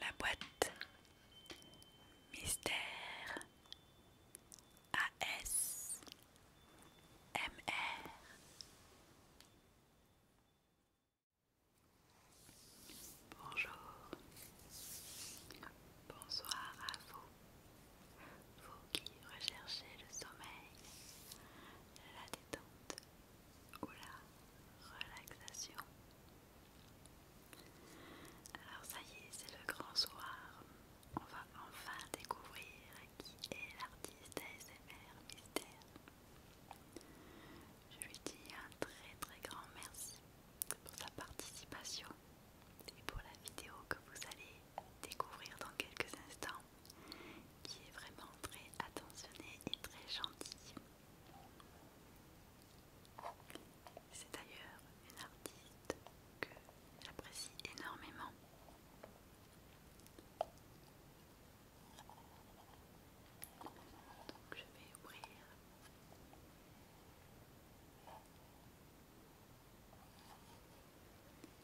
La boîte Mystère AS MR Bonjour, bonsoir à vous, vous qui recherchez le sommeil, la détente ou la relaxation. Alors ça y est, c'est le grand soir, on va enfin découvrir qui est l'artiste ASMR mystère. Je lui dis un très très grand merci pour sa participation et pour la vidéo que vous allez découvrir dans quelques instants, qui est vraiment très attentionnée et très gentille. C'est d'ailleurs une artiste que j'apprécie énormément je vais ouvrir.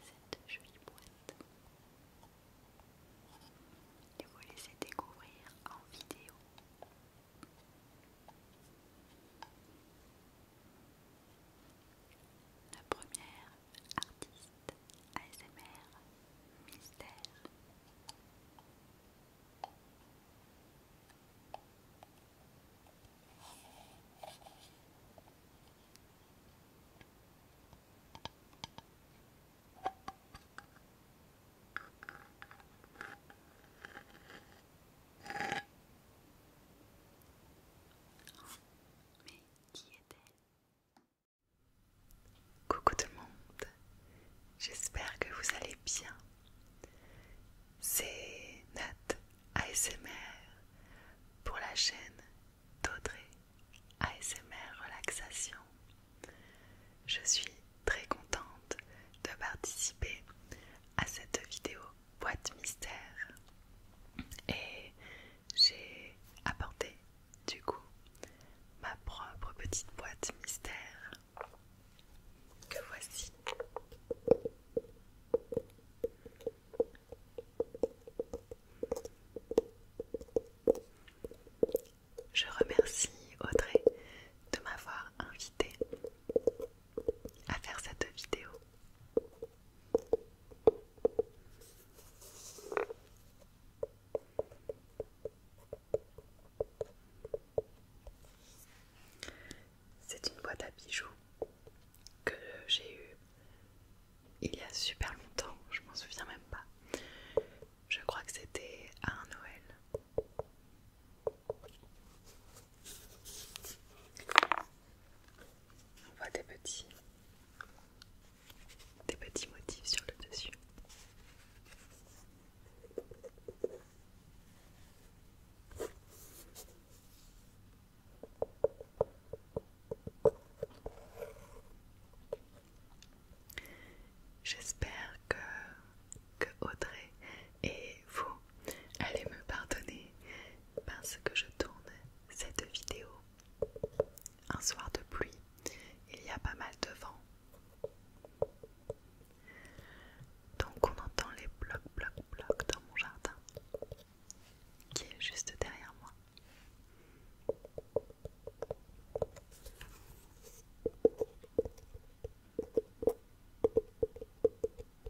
Cette jolie boîte et vous laisser découvrir en vidéo. La première artiste, ASMR, mystère. Mais qui est-elle Coucou tout le monde, j'espère que vous allez bien. C'est Nat ASMR pour la chaîne d'Audrey ASMR Relaxation. Je suis très contente de participer à cette vidéo boîte mystère et j'ai apporté du coup ma propre petite boîte mystère que voici. Je remercie Audrey de m'avoir invité à faire cette vidéo. C'est une boîte à bijoux que j'ai eue il y a super longtemps, je m'en souviens même pas. Je crois que c'était à un Noël on voit des petits, des petits motifs sur le dessus. J'espère que, que Audrey et vous allez me pardonner parce que je tourne cette vidéo un soir de pluie. Il y a pas mal de vent. Donc on entend les blocs, blocs, blocs dans mon jardin qui est juste derrière moi.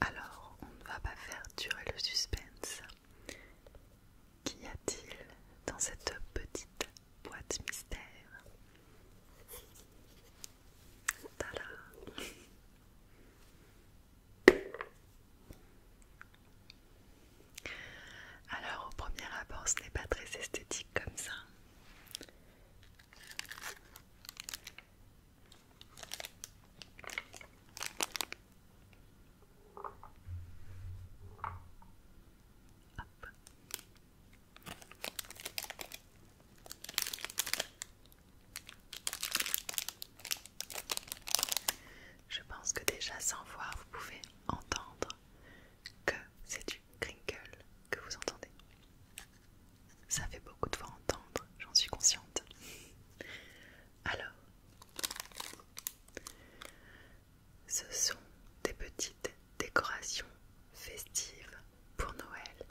Alors, on ne va pas faire durer le suspense. Qu'y a-t-il dans cette petite boîte mystère alors au premier abord ce n'est pas très esthétique comme ça. Je pense que déjà sans voir, vous pouvez entendre que c'est du crinkle que vous entendez. Ça fait beaucoup de fois entendre, j'en suis consciente. Alors, ce sont des petites Décoration festive pour Noël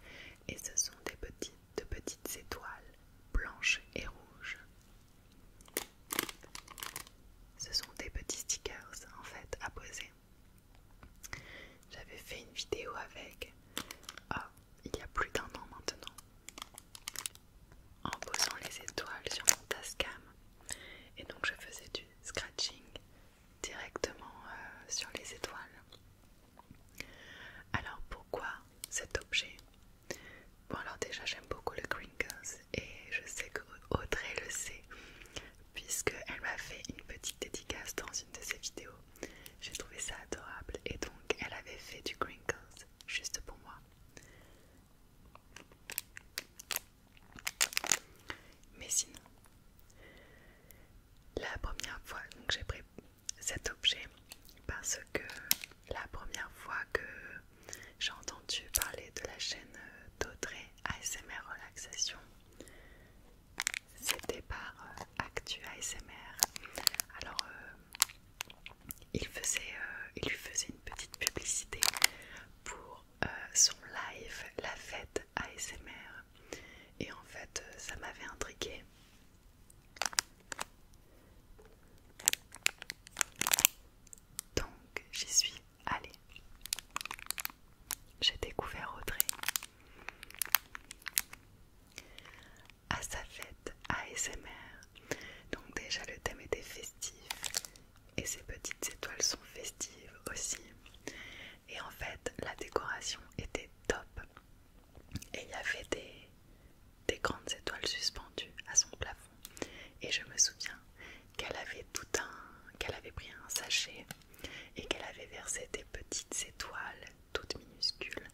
et ce sont des petites, de petites étoiles blanches et rouges. Ce sont des petits stickers en fait à poser. J'avais fait une vidéo avec ah, il y a plus d'un an maintenant en posant les étoiles sur mon Tascam et donc je faisais du scratching directement euh, sur les étoiles. Alors pourquoi cet objet Bon alors déjà j'aime beaucoup le crinkles et je sais que Audrey le sait puisqu'elle m'a fait une petite dédicace dans une de ses vidéos. J'ai trouvé ça adorable et donc elle avait fait du crinkles juste pour moi. Mais sinon, la première fois, que j'ai pris cet objet parce que la première fois que j'ai entendu parler de la chaîne d'Audrey ASMR Relaxation, c'était par euh, Actu ASMR. Alors, euh, il, faisait, euh, il lui faisait une petite publicité pour euh, son live La Fête ASMR et en fait euh, ça m'avait intrigué Donc j'y suis allée. J'ai découvert Audrey à sa fête ASMR. Donc déjà le thème était festif, et ces petites étoiles sont festives aussi. Et en fait, la décoration était top. Et il y avait des, grandes étoiles suspendues à son plafond. Et je me souviens qu'elle avait tout un, qu'elle avait pris un sachet et qu'elle avait versé des petites étoiles toutes minuscules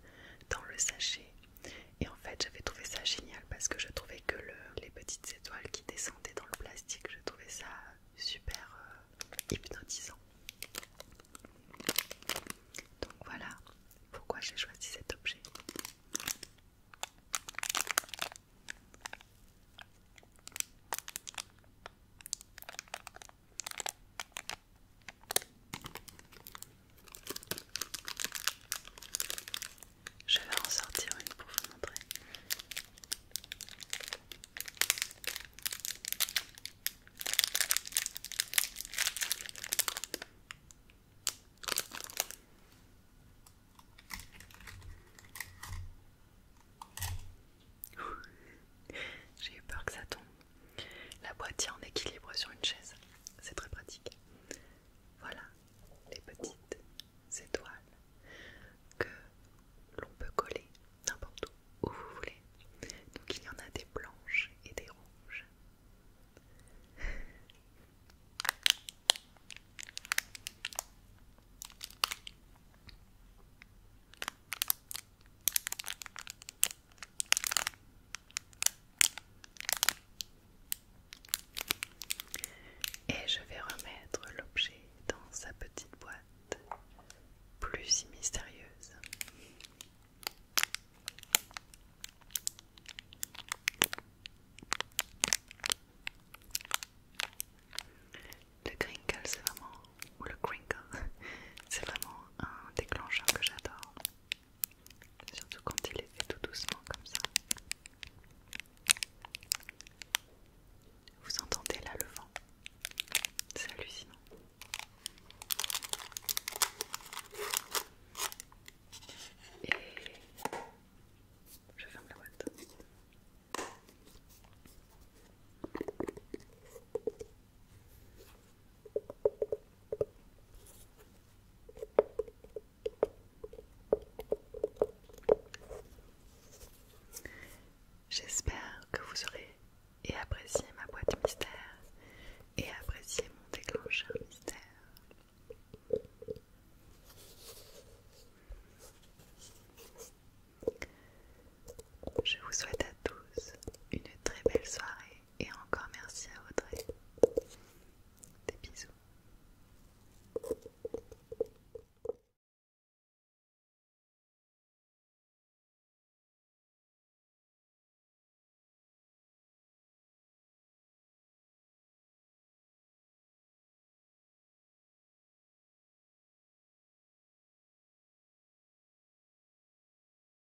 dans le sachet. Et en fait, j'avais trouvé ça génial parce que je trouvais que les petites étoiles descendait dans le plastique, je trouvais ça super euh, hypnotisant. Donc voilà pourquoi j'ai choisi cet objet. Je vais en sortir une pour vous montrer. J'ai eu peur que ça tombe. La boîte tient en équilibre sur une chaise, c'est très pratique. Voilà, les petites étoiles que l'on peut coller n'importe où, où vous voulez. Donc il y en a des blanches et des rouges. Et je vais remettre l'objet dans sa petite boîte, plus si mystérieuse. Le crinkle, c'est vraiment, ou le crinkle, c'est vraiment un déclencheur que j'adore. Surtout quand il est tout doucement comme ça. Vous entendez là le vent C'est hallucinant. Et je ferme la boîte. J'espère que vous aurez apprécié ma boîte mystère et apprécié mon déclencheur mystère. Je vous souhaite à tous une très belle soirée et encore merci à Audrey. Des bisous.